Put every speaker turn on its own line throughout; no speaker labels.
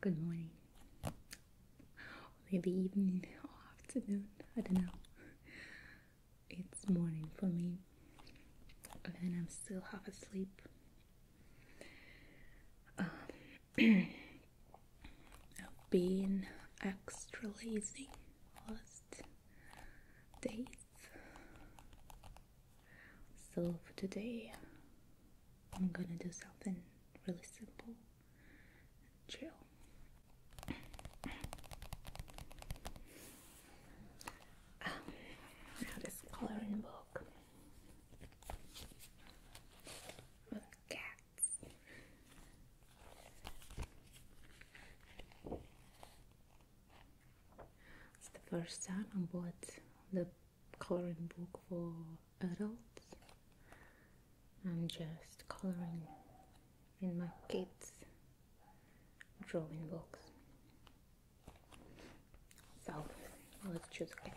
good morning, maybe evening or afternoon. I don't know. It's morning for me, and I'm still half asleep. Um, I've been extra lazy last days, so for today. I'm gonna do something really simple Chill. Um, this coloring book with cats. It's the first time I bought the coloring book for adults. I'm just coloring in my kids' drawing books. So let's choose a cat.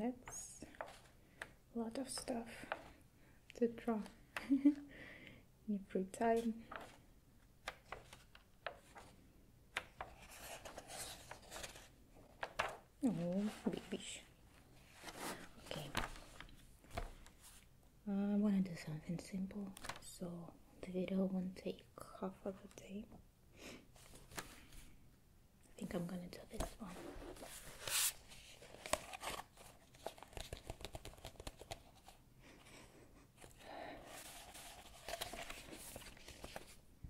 that's a lot of stuff to draw in free time. Oh, big Okay. I want to do something simple, so the video won't take half of the day. I think I'm gonna do this one.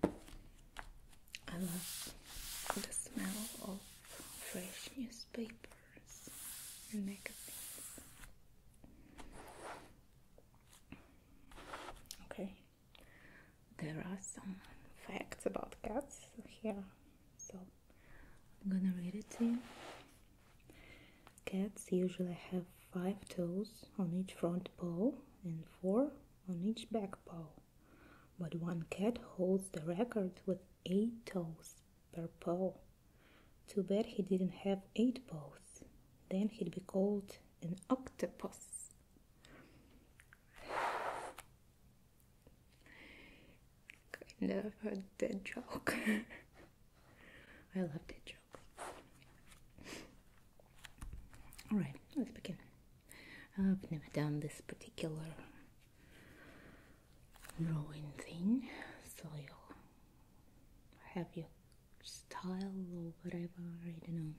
I love the smell of fresh newspapers and magazines. Okay, there are some facts about cats here, so I'm gonna read it to you. Cats usually have five toes on each front paw and four on each back paw but one cat holds the record with 8 toes per paw. Too bad he didn't have 8 paws, then he'd be called an octopus. kind of a dead joke. I love dead jokes. Alright, let's begin. I've never done this particular drawing thing, so you'll have your style or whatever, I don't know.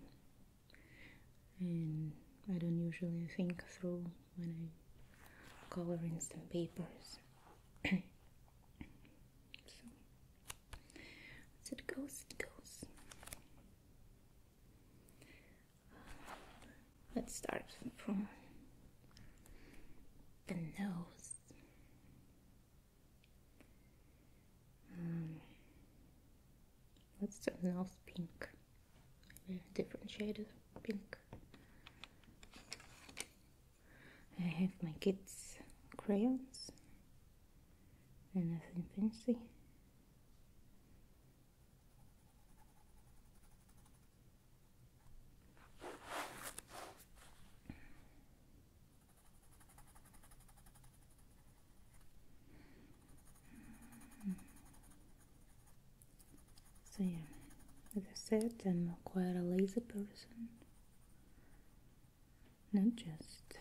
And I don't usually think through when I color in some papers. so, it goes, it goes. Let's start from the nose. Let's um, do nose pink, different shades of pink. I have my kids' crayons and nothing fancy. So yeah, as I said, I'm quite a lazy person. Not just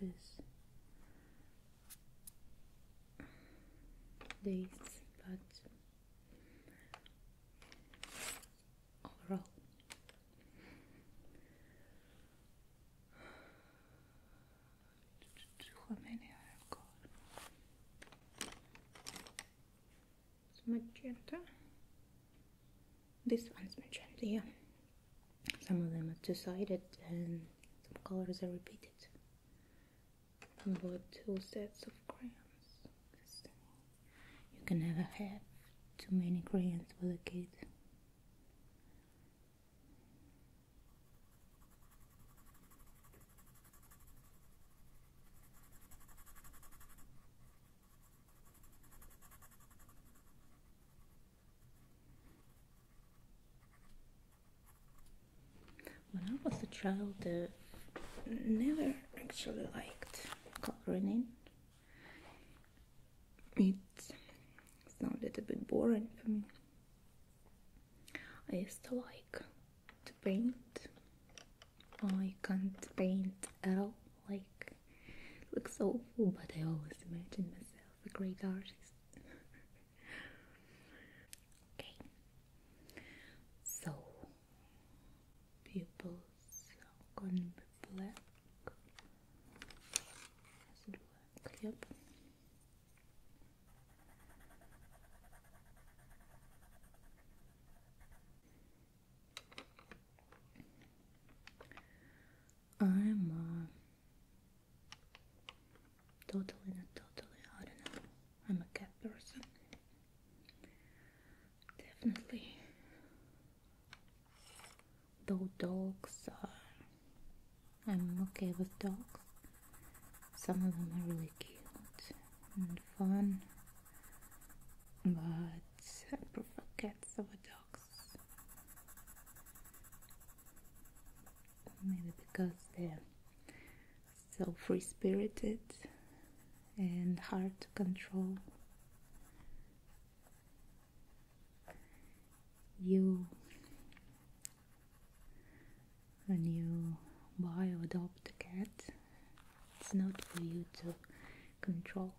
this days, but overall. How many I've got? It's magenta. This one's magenta, yeah. Some of them are two-sided and some colors are repeated. I bought two sets of crayons. You can never have too many crayons for the kid. When I was a child, I uh, never actually liked coloring It sounded a bit boring for me. I used to like to paint. I can't paint at all. Like, looks awful, but I always imagined myself a great artist. Okay. So pupils are gonna be black. Has it Yep. I'm a uh, Totally, not totally, I don't know. I'm a cat person. Definitely. Though dogs are. I'm okay with dogs. Some of them are really cute and fun. But I prefer cats over dogs maybe because they're so free spirited and hard to control. You, when you buy or adopt a cat, it's not for you to control,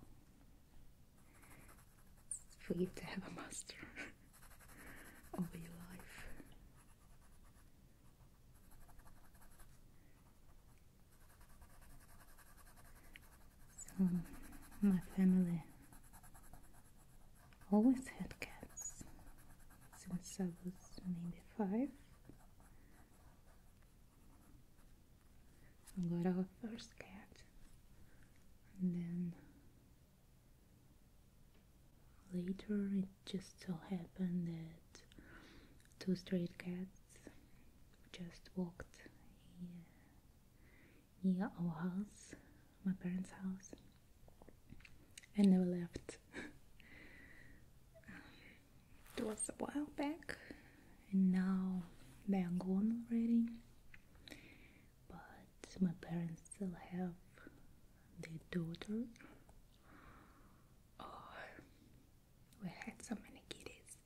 it's for you to have a master. over your life. So, my family always had cats since I was maybe five. I got our first cat, and then Later, it just so happened that two stray cats just walked near our house, my parents' house, and never left. it was a while back, and now they are gone already but my parents still have their daughter. Oh, we had so many kitties,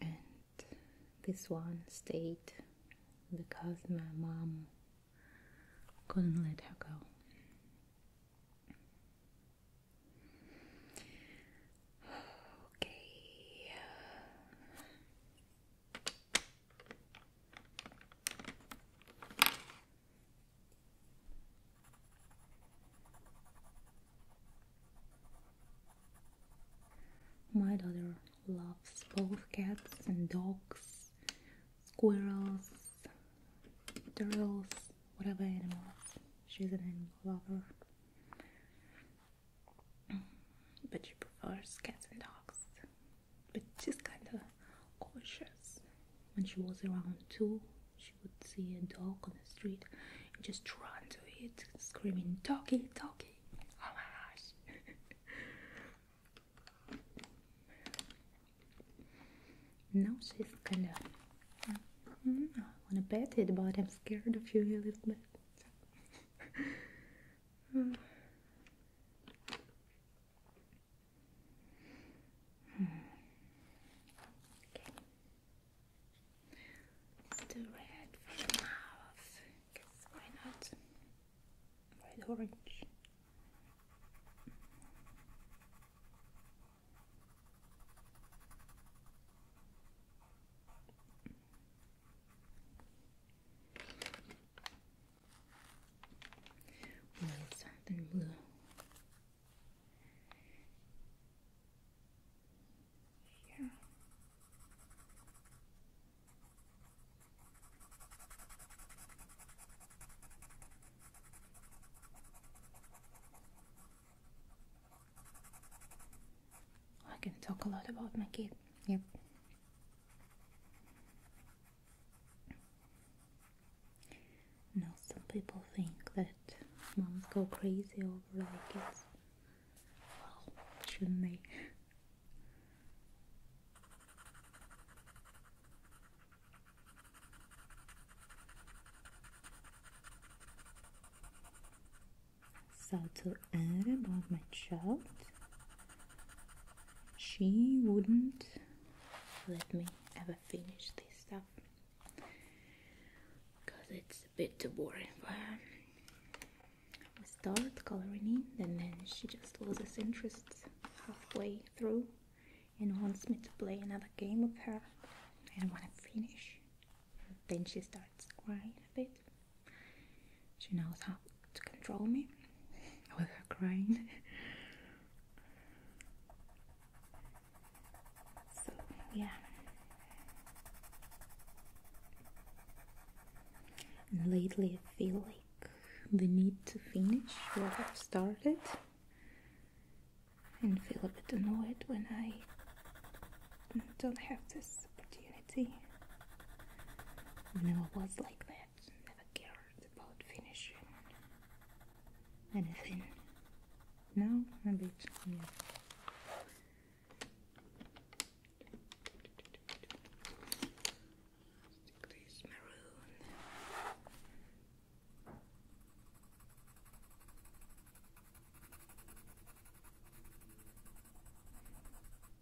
and this one stayed because my mom couldn't let her go. Okay. My daughter loves both cats and dogs, squirrels, turtles, whatever animals. She's an animal lover but she prefers cats and dogs. But she's kind of cautious. When she was around two, she would see a dog on the street just trying to it, screaming, Doggy, doggy! Oh my gosh! now she's kind of. I want to pet it, but I'm scared of you a little bit. Mm. The red for the mouth. Guess why not? Red orange màu sáng yeah. I can talk a lot about my kid. Yep. Now some people think that moms go crazy over their kids. Well, shouldn't they? So to add about my child, she wouldn't let me ever finish this stuff because it's a bit too boring But I start coloring it and then she just loses interest halfway through and wants me to play another game with her and want to finish then she starts crying a bit she knows how to control me with her crying. so, yeah. lately, I feel like the need to finish what I've started and feel a bit annoyed when I don't have this opportunity. Never was like that, never cared about finishing anything. No, a bit, Stick this maroon.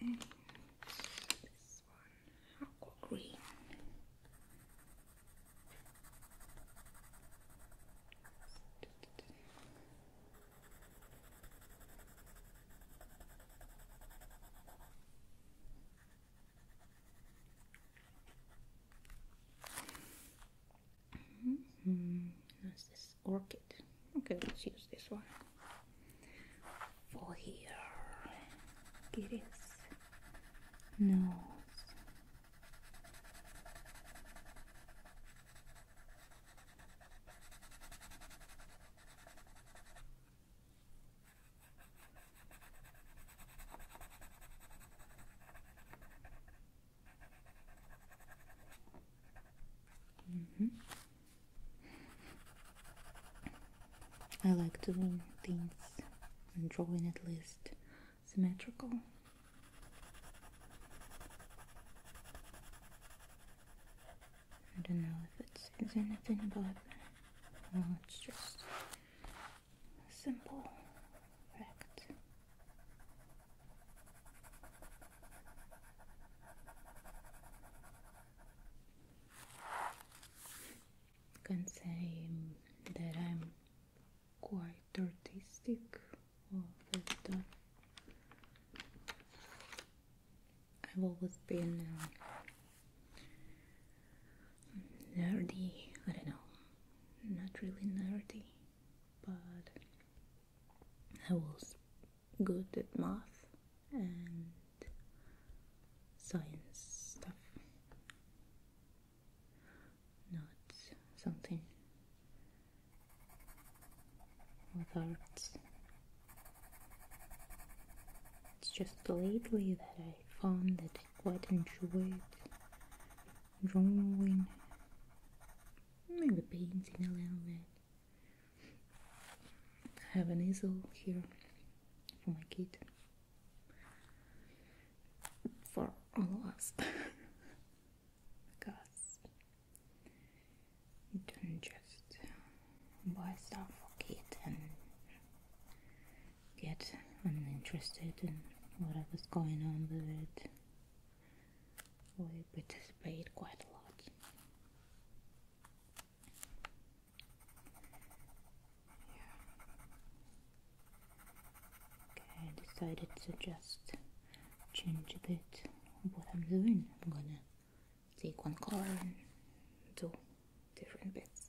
and this one aqua green. Mm -hmm. This orchid. Okay, let's use this one. For here, get his nose. Mm-hmm. I like doing things and drawing at least symmetrical. I don't know if it says anything but it's just simple fact. You can say that I'm quite artistic of that uh, I've always been uh, nerdy. I don't know, not really nerdy, but I was good at math and science stuff, not something with arts. It's just lately that I found that I quite enjoy drawing, and painting a little bit. I have an easel here for my kid. For all of us. because you don't just buy stuff for kids and get uninterested in whatever's going on with it. We participate quite a lot. Okay, I decided to just change a bit what I'm doing. I'm gonna take one color and do different bits.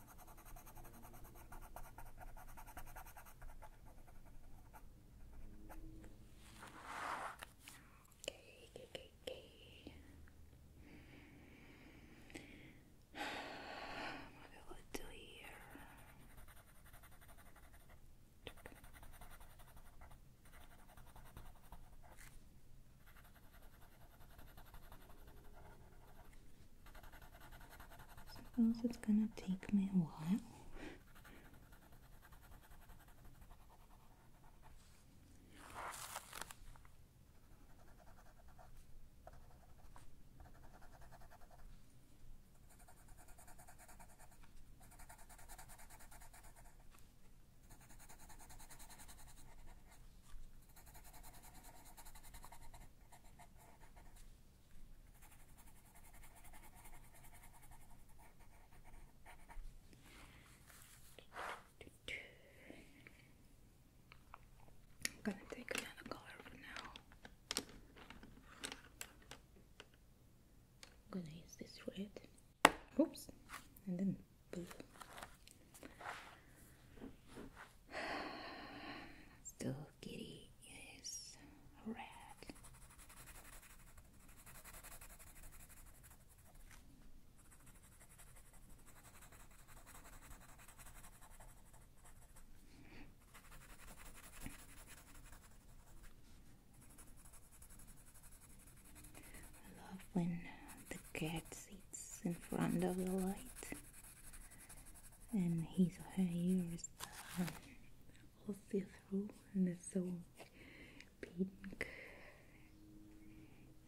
Okay, okay, okay, okay. What will I do here? Okay. Suppose it's gonna take me a while. I'm gonna take another color for now. I'm gonna use this red. Oops, and then blue. Still, Kitty is red. I love when the cat sits in front of the light uh, and his or her hair is all see through and it's so pink.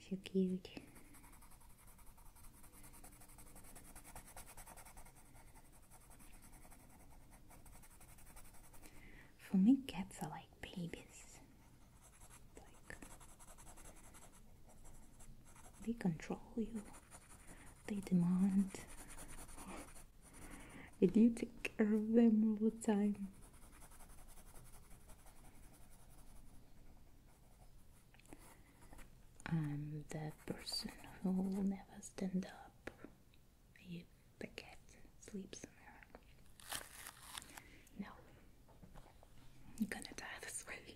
So cute. For me, cats are like babies. Like they control you. They demand. Did you take care of them all the time? I'm that person who will never stand up. You, the cat, sleeps No, I'm gonna die this way.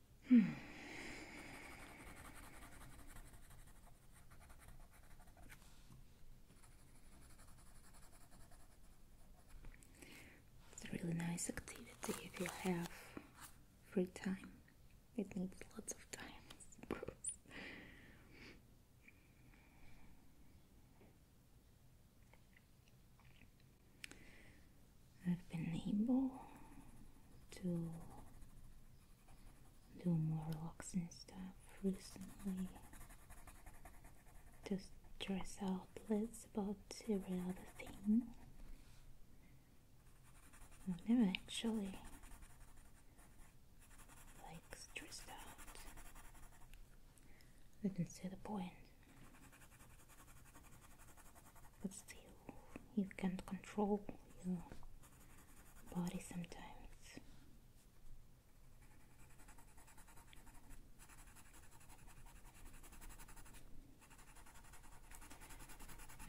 It's a really nice activity if you have free time. It needs lots of time, I I've been able to do more looks and stuff recently. Just dress outlets about every other thing. I've never actually like stressed out. I didn't see the point but still you can't control your body sometimes.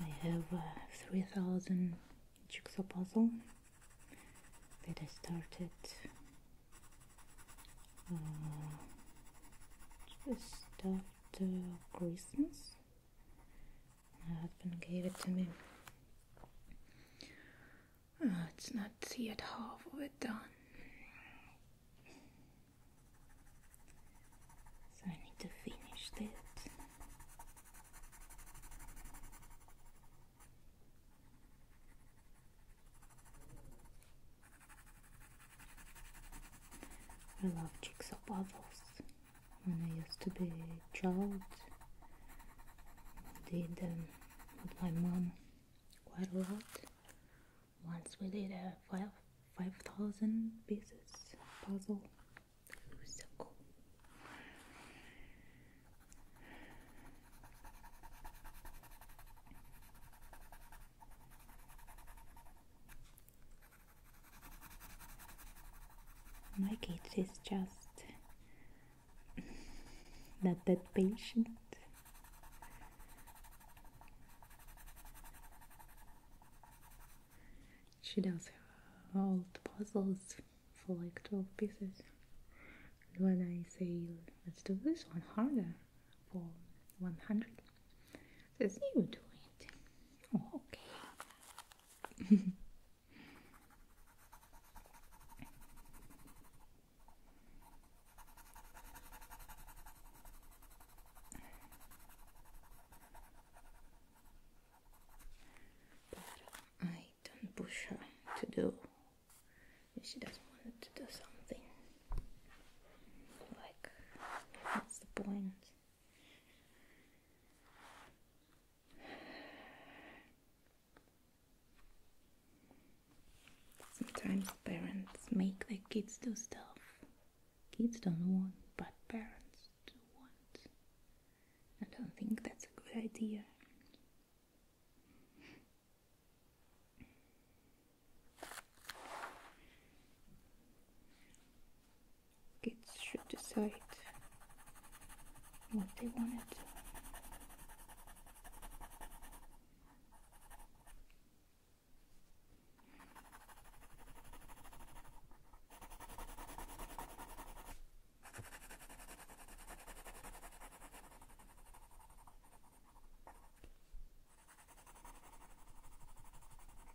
I have 3000 jigsaw puzzle that I started uh, just after Christmas my husband gave it to me. Let's ah, not see yet half of it done. So I need to finish it. I love jigsaw puzzles when I used to be a child did them um, with my mom quite a lot once we did a 5,000 pieces puzzle my kid is just not that patient. She does her old puzzles for like 12 pieces. when I say, let's do this one harder for 100, says, you do it. okay but I don't push her to do she doesn't want to do something. Like, what's the point? Sometimes parents make their kids do stuff kids don't want, but parents do want. I don't think that's a good idea kids should decide what they want. to.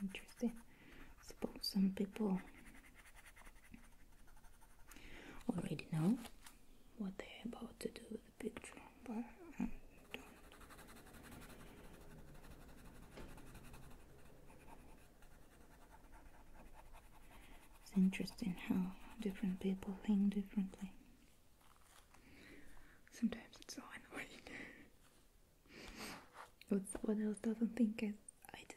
Interesting. I suppose some people already know what they're about to do with the picture, but um, it's interesting how different people think differently. Sometimes it's so annoying. what someone else doesn't think as I do.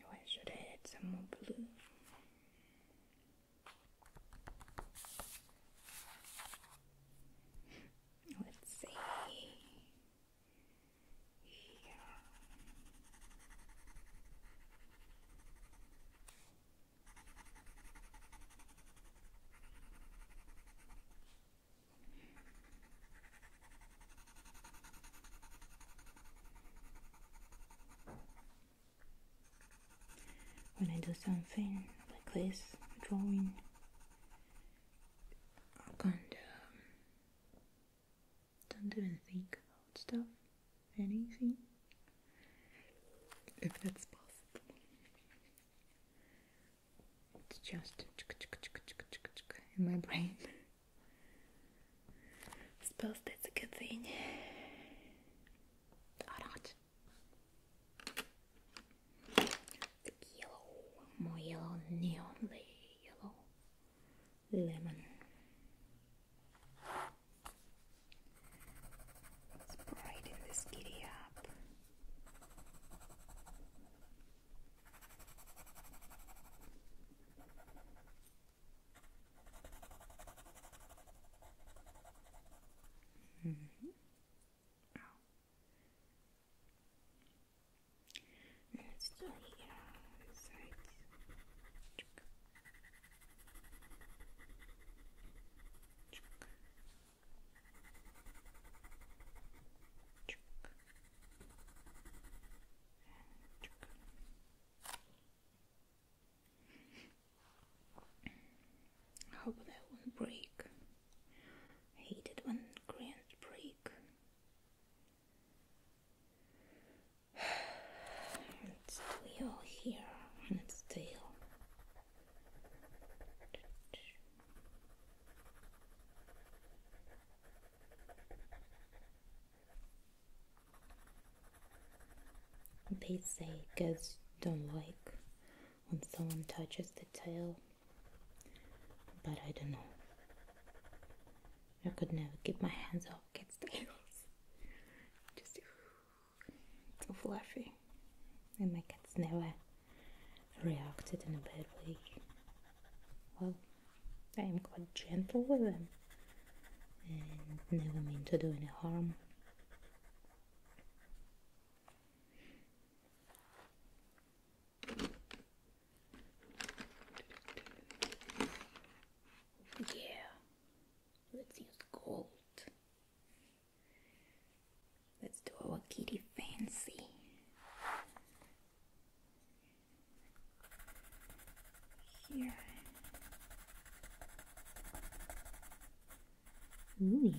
Oh, I should add some more blue. Let's see. Yeah. When I do something like this, drawing, I can't, don't even think about stuff, anything, if that's possible. It's just in my brain. Suppose that's a good thing. Orange. yellow, more yellow, neonly yellow. Lemon. Let's brighten this kitty up. Mm -hmm. oh. Let's do the uh, sides. Check. Check. Check. Check and an electric hope that won't break. I when crayons break. still here and it's still. They say cats don't like when someone touches the tail, but I don't know. I could never keep my hands off kids' tails. Just so fluffy. And my cats never reacted in a bad way. Well, I am quite gentle with them and never mean to do any harm. Yeah, let's use gold. Let's do our kitty fancy here. Ooh.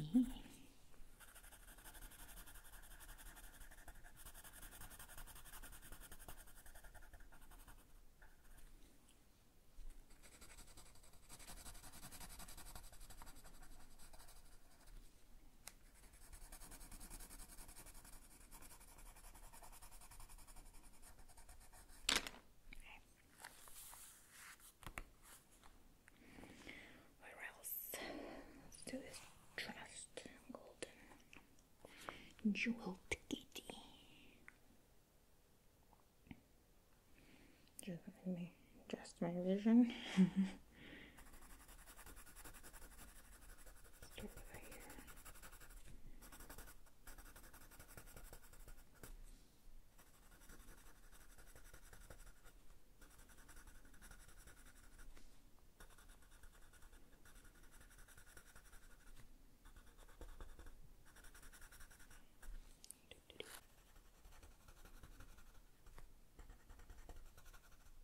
Where else? Let's do this trust golden jeweled kitty. Just adjust my vision. Strip right here. Do, do, do.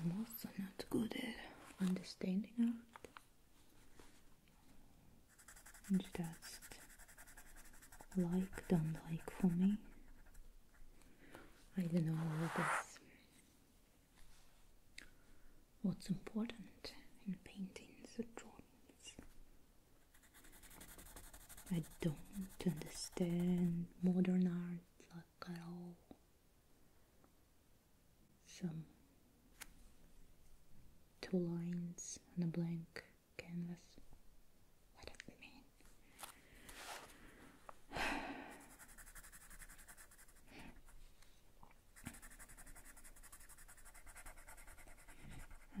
I'm also not good at understanding art. And just like, don't like for me. I don't know what is what's important in paintings or drawing? I don't understand modern art like at all. Some two lines on a blank canvas. What does it mean?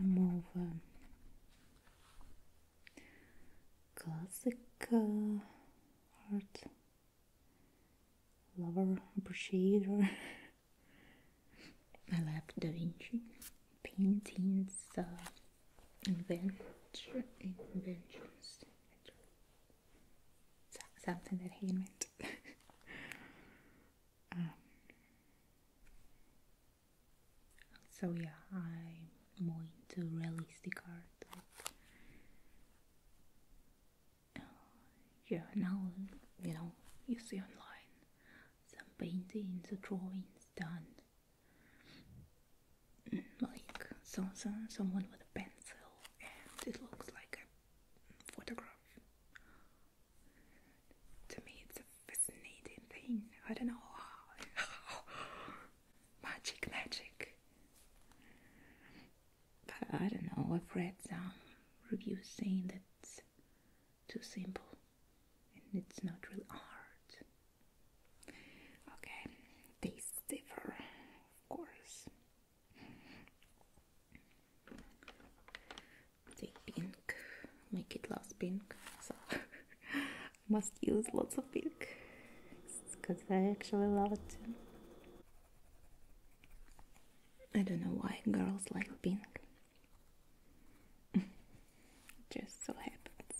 I'm more classic art lover, appreciator. I love Da Vinci paintings uh, adventure, inventions something that he invented Um, so yeah, I'm more into realistic art. Uh, yeah, now you know you see online some paintings, drawings done mm, like so, someone with a pencil, and it looks like a photograph to me, it's a fascinating thing. I don't know how. magic, magic. But I don't know. I've read some reviews saying that's too simple and it's not real art. Okay, tastes differ, of course. Take pink, make it last pink. So I must use lots of pink because I actually love it. I don't know why girls like pink. Just so happens.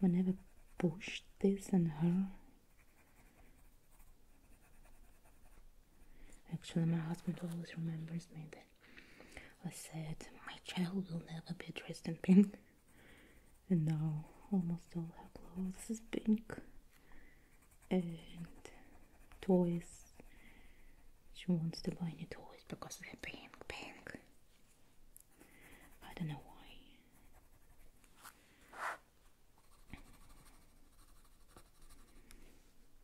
Whenever pushed this on her. Actually, my husband always remembers me that I said, My child will never be dressed in pink. And now almost all her clothes is pink. And toys. She wants to buy new toys because they're pink, pink. I don't know why.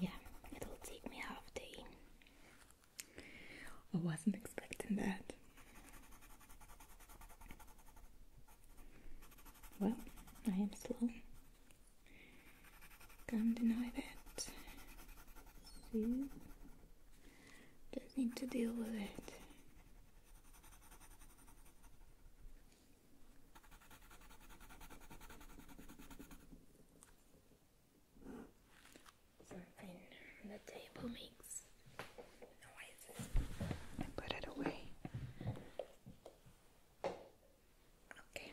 Yeah, it'll take me half a day. I wasn't expecting that. Well, I am slow. Can't deny that. See? Just need to deal with it. Something on the table makes noises. I put it away. Okay.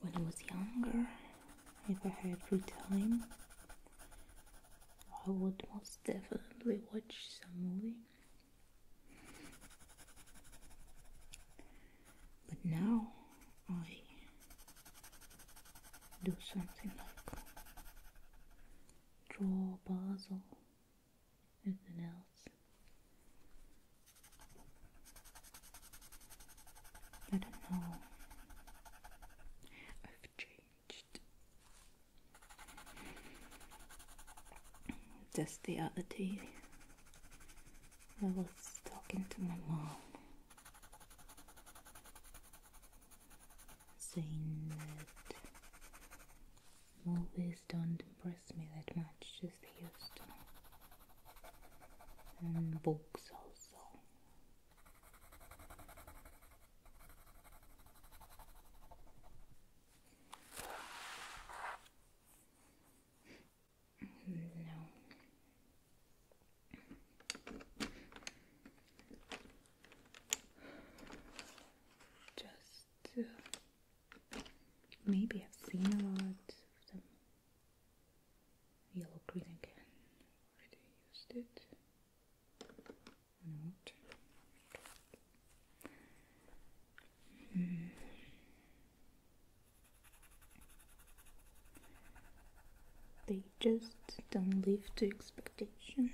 When I was younger, if I had free time, I would most definitely watch some movie. But now I do something like draw Basel, anything else. I don't know. I've changed. Just the other day, I was talking to my mom saying that movies don't impress me that much as they used to. And books also. No just uh, maybe I've seen a lot of them. Yellow green again. Already used it. Not. Mm. They just don't live to expectations.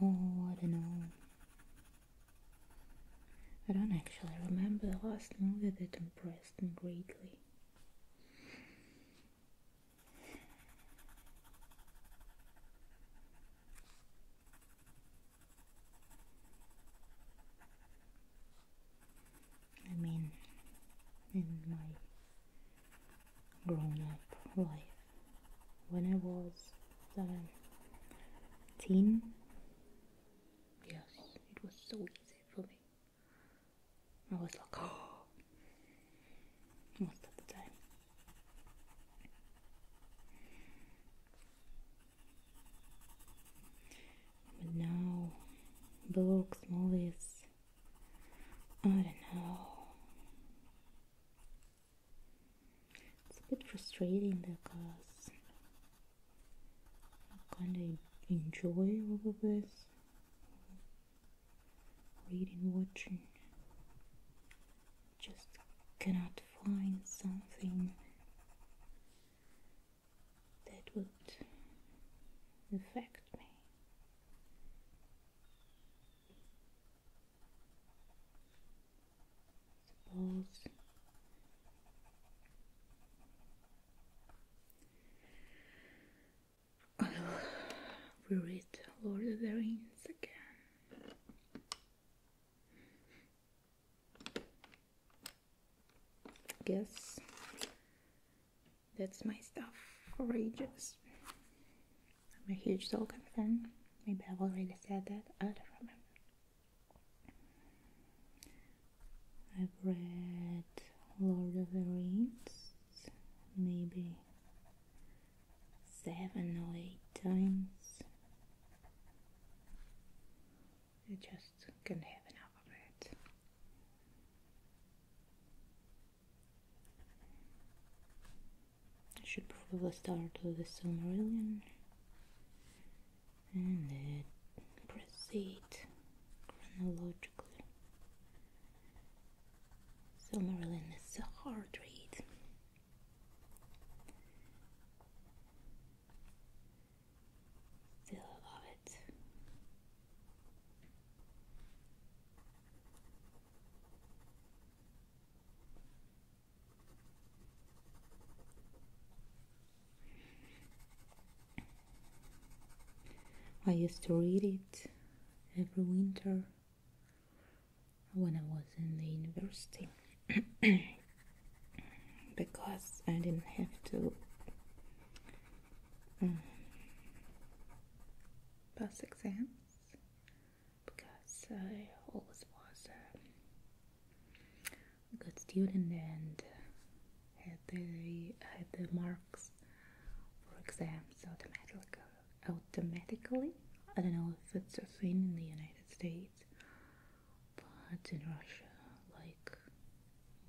Oh, I don't know. I don't actually remember the last movie that impressed me greatly. I mean, in my grown up life, when I was 17, uh, yes, it was so easy for me. I was like, oh, most of the time. But now, books, movies, I don't know. It's a bit frustrating because I kinda enjoy all of this reading, watching. Just cannot find something that would infect me. Suppose I will read Lord of the Rings again guess that's my stuff for I'm a huge Tolkien fan. Maybe I've already said that. I don't remember. I've read Lord of the Rings maybe seven or eight times. I just can not have enough of it. I should probably start with the Silmarillion and then proceed chronologically. Silmarillion is a hard read. Still love it. I used to read it every winter when I was in the university. because I didn't have to mm. pass exams because I always was a good student and had the had the marks for exams automatically. Automatically, I don't know if it's a thing in the United States, but in Russia, like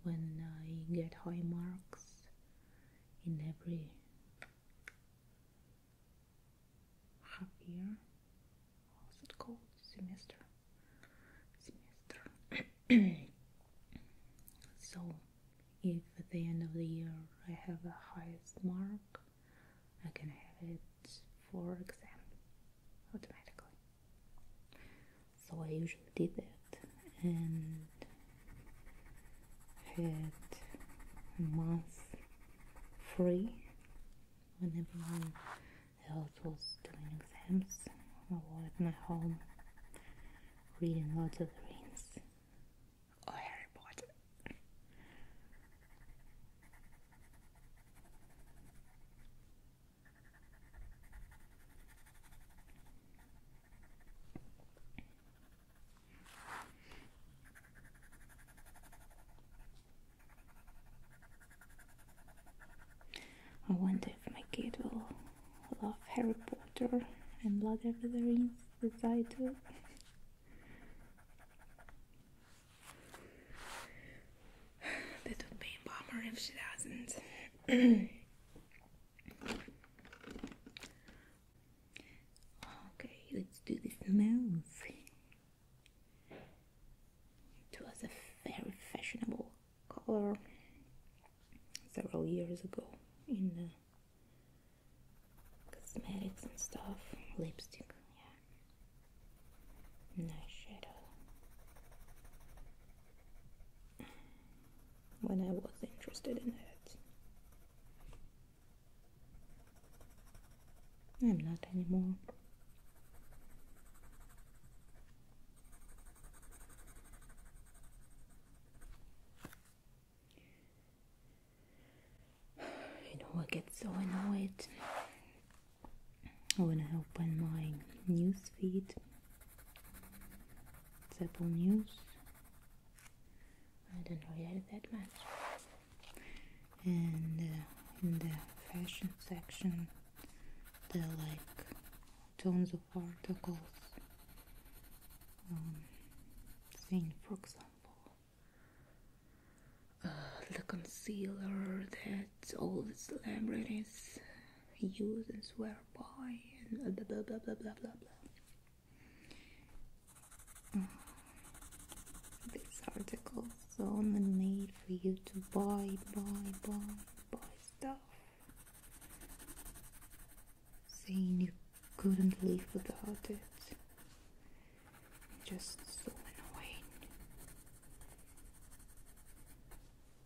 when I get high marks in every half year, what's it called? Semester. Semester. so, if at the end of the year I have the highest mark, I can have it for exam automatically. So I usually did that and had a month free when everyone else was doing exams. I was at my home reading Lord of the Rings or Harry Potter. I wonder if my kid will love Harry Potter and Blood of the as I do. That would be a bummer if she doesn't. okay, let's do this move. It was a very fashionable color several years ago in cosmetics and stuff, lipstick, yeah, and eyeshadow when I was interested in it. I'm not anymore. You know, I get so annoyed I'm gonna open my news feed, it's Apple News. I don't read it that much. And uh, in the fashion section, there are like tons of articles um, saying, for example, uh, the concealer that all the celebrities use and swear by and blah blah blah blah blah blah blah. Mm. These articles only made for you to buy, buy, buy, buy stuff. Saying you couldn't live without it. Just so annoying.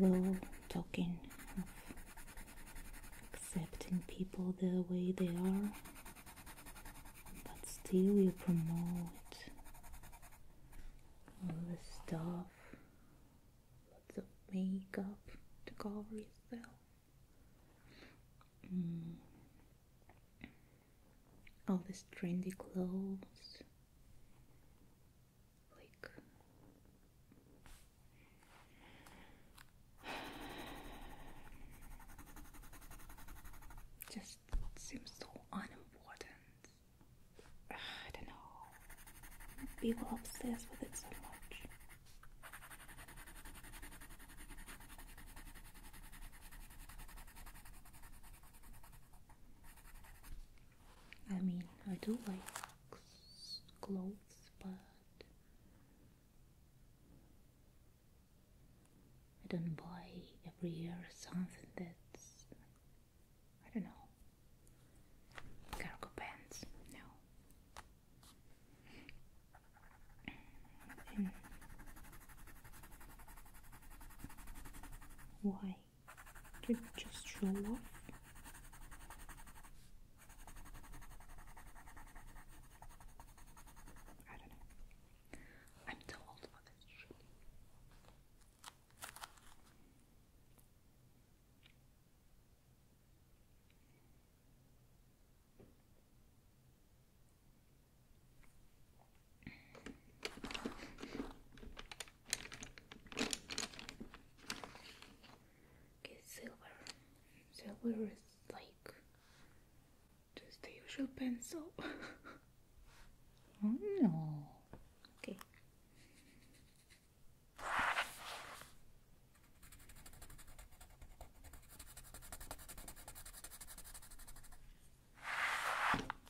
low talking of accepting people the way they are, but still you promote all the stuff, lots of makeup to cover yourself. Mm. All this trendy clothes, like just seems so unimportant. I don't know. People obsess with it so much. I mean, I do like clothes, but I don't buy every year something that's I don't know cargo pants. No. Hmm. why? to just show off. I don't know. I'm too old this shit. Okay, silver. Silver is like just the usual pencil. oh no. Okay.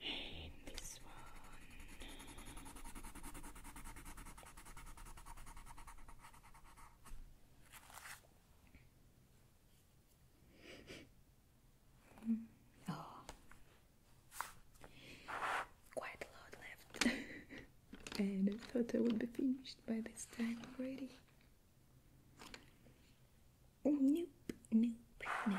and this one. oh, quite a lot left, and I thought I would be finished by this time already. Oh, nope, nope, nope.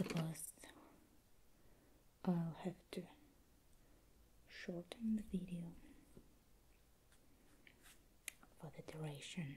suppose I'll have to shorten the video for the duration.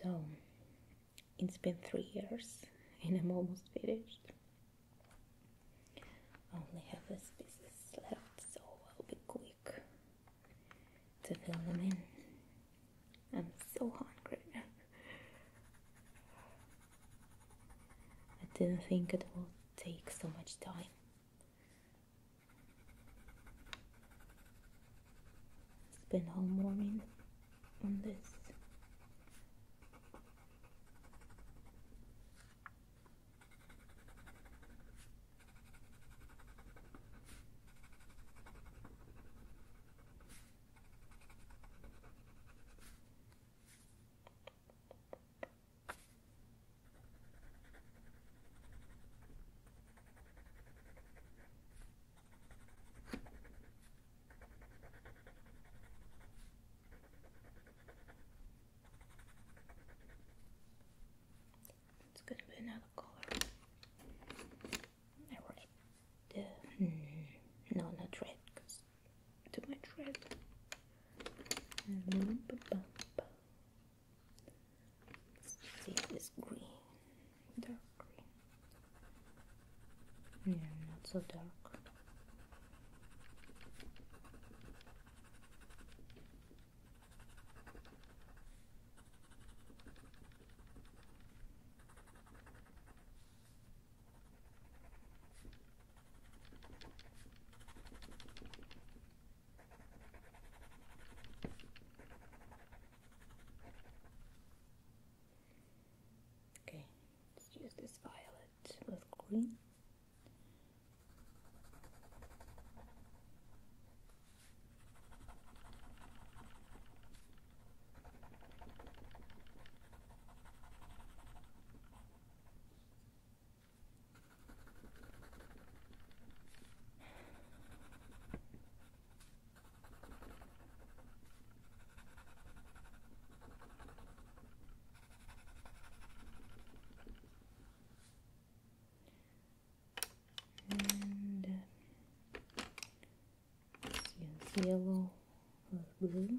So, it's been three years and I'm almost finished. only have this pieces left, so I'll be quick to fill them in. I'm so hungry. I didn't think it would take so much time. Spend whole morning on this. It's gonna be another color. Red. Uh, hmm, no, not red, to my tread. Let's see this green, dark green. Yeah, not so dark. Okay, let's use this violet with green. And uh, yellow or uh, blue.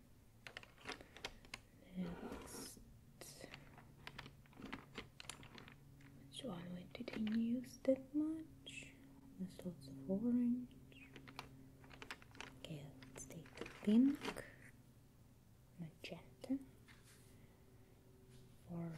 Next, which one didn't use that much? There's lots of orange. Okay, let's take the pink, magenta, for blue.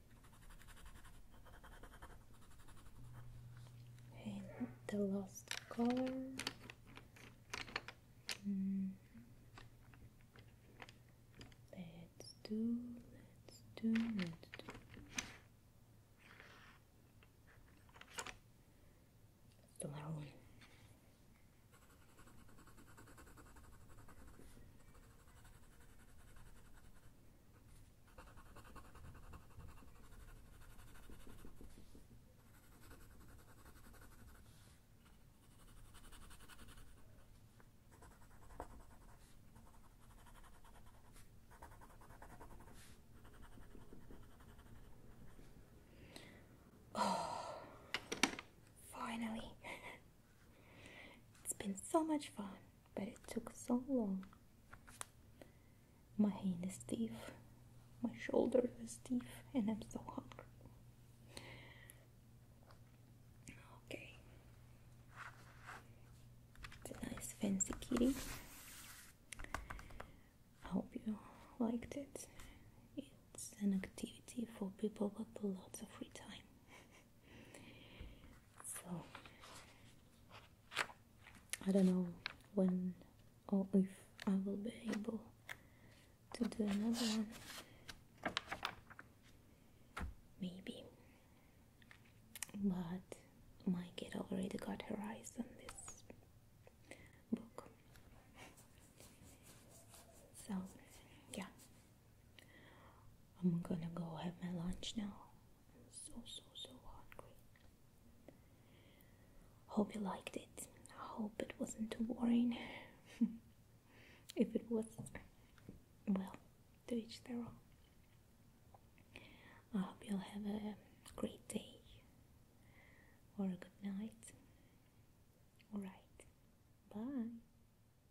the last color let's do let let's do let's do maroon Oh, finally. It's been so much fun, but it took so long. My hand is stiff, my shoulder is stiff, and I'm so hungry. Okay, it's a nice fancy kitty. I hope you liked it. It's an activity for people with lots of free time so I don't know when or if I will be able to do another one. Maybe. But my kid already got her eyes on this book. So, yeah, I'm gonna go have my lunch now. I'm so, so, so hungry. Hope you liked it. I hope it wasn't too boring. if it was, well, do each their own. I hope you'll have a great day or a good night. Alright, bye.